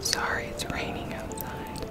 Sorry, it's raining outside.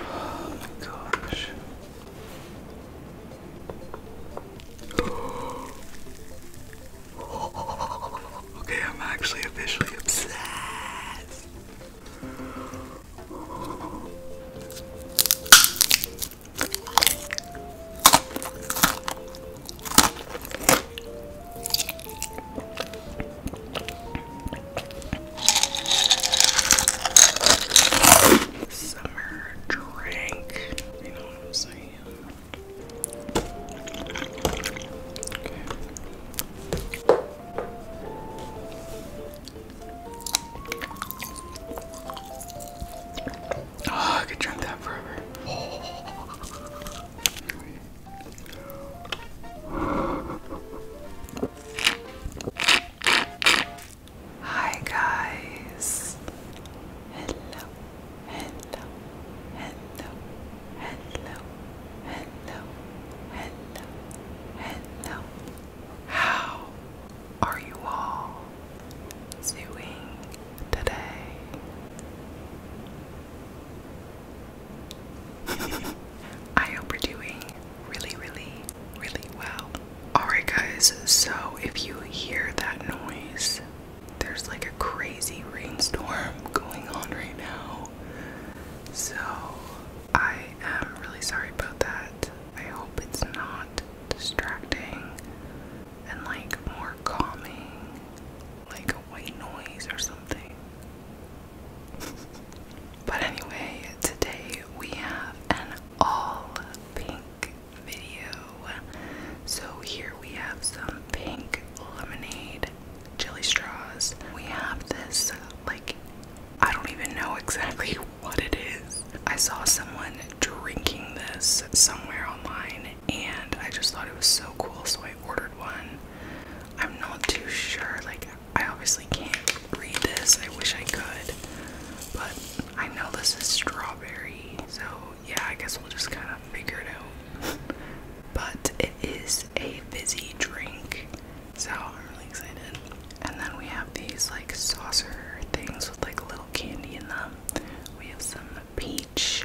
Oh my gosh. okay, I'm actually officially obsessed. Summer drink. You know what I'm saying? Okay. Oh, I could drink that forever. Hi guys. Hello. Hello. Hello. Hello. Hello. Hello. How are you all doing today? I hope you're doing really, really, really well. Alright, guys, so if you hear that noise, there's like a crazy rainstorm going on right now. So I am really sorry about that. I hope it's not distracting and like more calming, like a white noise or something. but anyway, today we have an all pink video. So here we have some pink lemonade jelly straws. We have this like I don't even know exactly what it is. I saw someone drinking this somewhere online and I just thought it was so cool, so I ordered one. I'm not too sure, like, I obviously can't read this. I wish I could, but I know this is strawberry, so yeah, I guess we'll just kind of figure it out. but it is a fizzy drink. So I'm really excited. And then we have these like saucer things with like little candy in them. We have some peach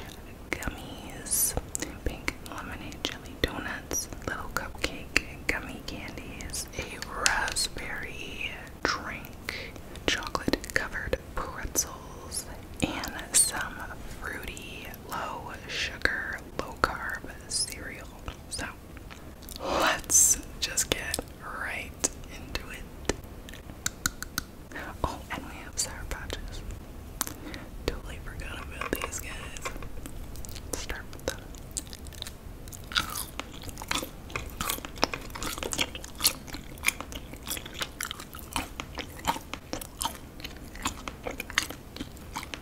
gummies, pink lemonade jelly donuts, little cupcake gummy candies, a raspberry drink, chocolate covered pretzels, and some fruity low sugar, low carb cereal. So let's just get right into it. Oh, and we have sour patches. Totally forgot about these guys. start with that.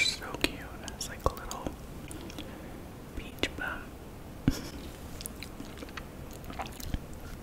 so cute. It's like a little beach bum.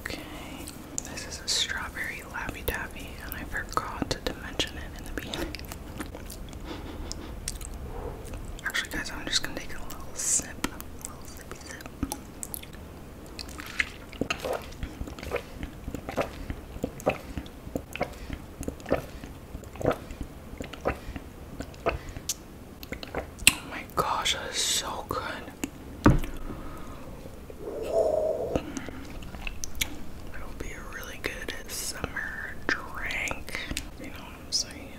Okay, this is a strawberry lappy tappy, and I forgot to mention it in the beginning. Actually, guys, I'm just gonna take a little sip, a little sippy sip. Oh my gosh, that is so good. It'll be a really good summer drink. You know what I'm saying?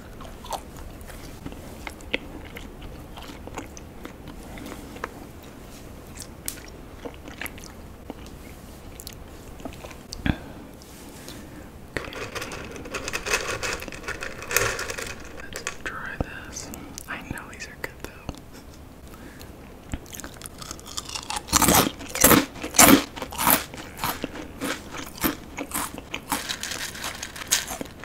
Let's try this. I know these are good though.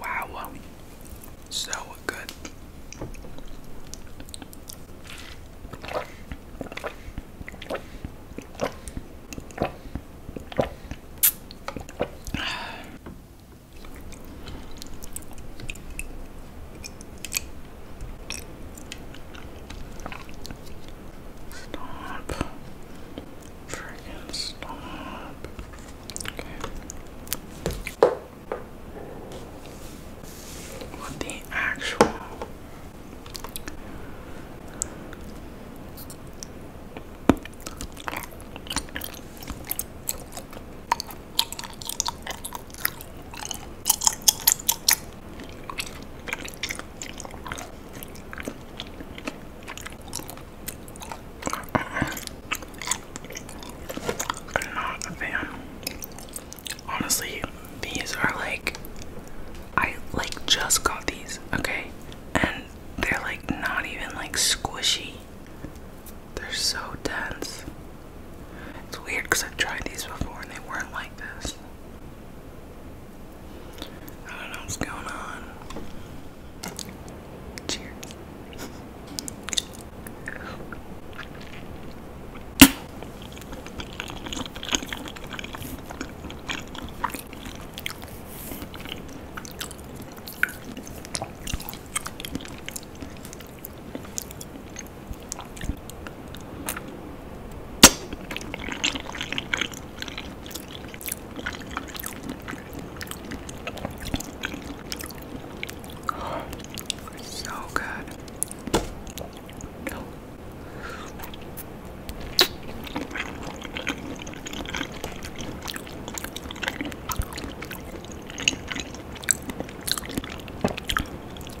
Wow, so good. Stop. Freaking stop. What the actual? I'm not a fan. Honestly, these are like I like just got these, okay? And they're like not even like squishy. They're so dense. It's weird because I've tried these before and they weren't like this. I don't know what's going on. Cheers. So good. No.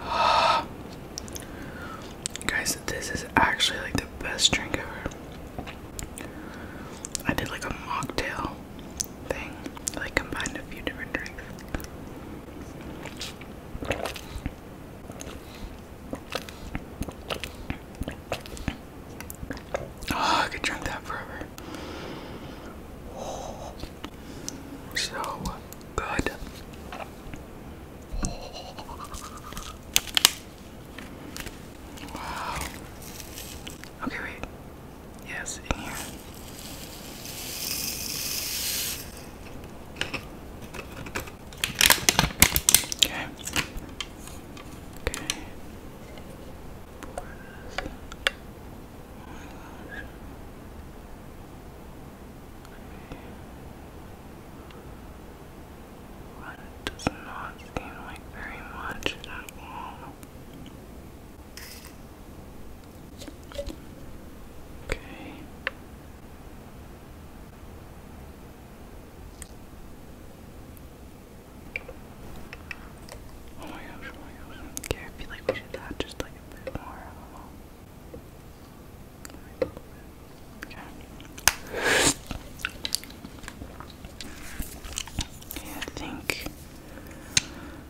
Guys, this is actually like the best drink ever. I did like a mocktail thing, like combined a few different drinks. Oh, I could drink that forever. So good. Okay, wait. Yes, in here. Okay. Okay. Pour does not seem like very much at all. Okay. Oh my gosh, Okay, oh I feel like we should add just like a bit more. okay. okay. I think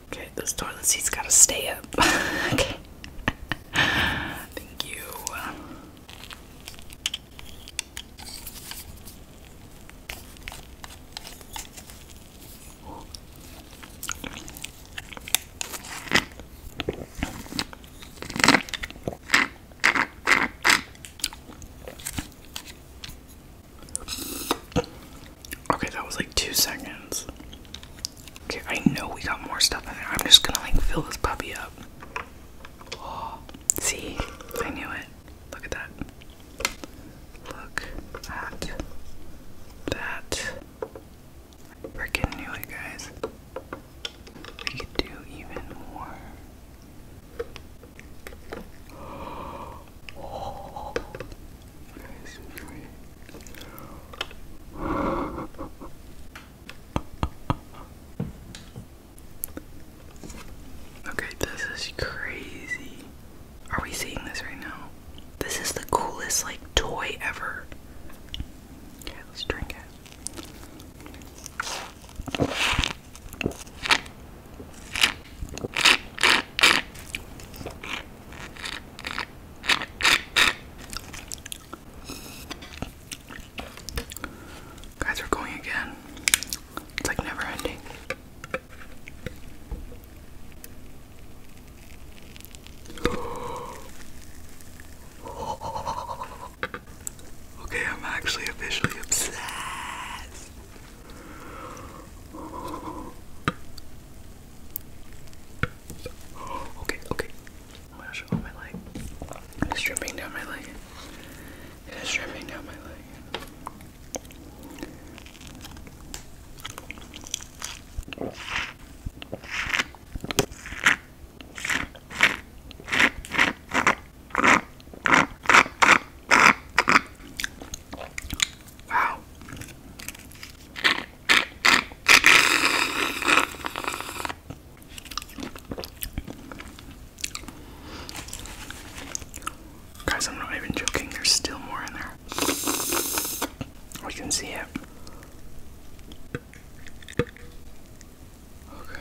Okay, those toilet seat's gotta stay up. okay. Thank you. Okay, that was like two seconds. Okay, I know we got more stuff in there. I'm just gonna like fill this puppy up. Oh, see, I knew it. Look at that. Look at that. I freaking knew it, guys. We could do even more. Oh, guys, enjoy it. Okay, this is crazy. Are we seeing this right now? This is the coolest, like, toy ever. Okay, let's drink it. Guys, are going again. It's like never ending. Okay, I'm actually officially obsessed. Okay, okay. Oh my gosh, oh It is dripping down my leg. It is dripping down my leg. Guys, I'm not even joking, there's still more in there. We can see it. Okay.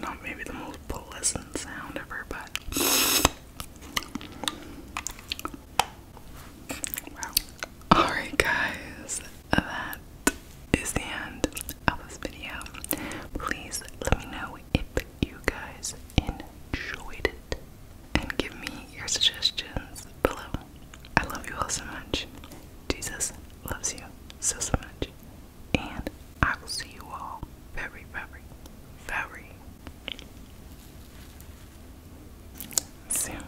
Not maybe the most pleasant sound ever, but Alright, guys, that is the end of this video. Please let me know if you guys enjoyed it and give me your suggestions below. I love you all so much. Jesus loves you so, so much. And I will see you all very, very, very soon.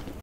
Good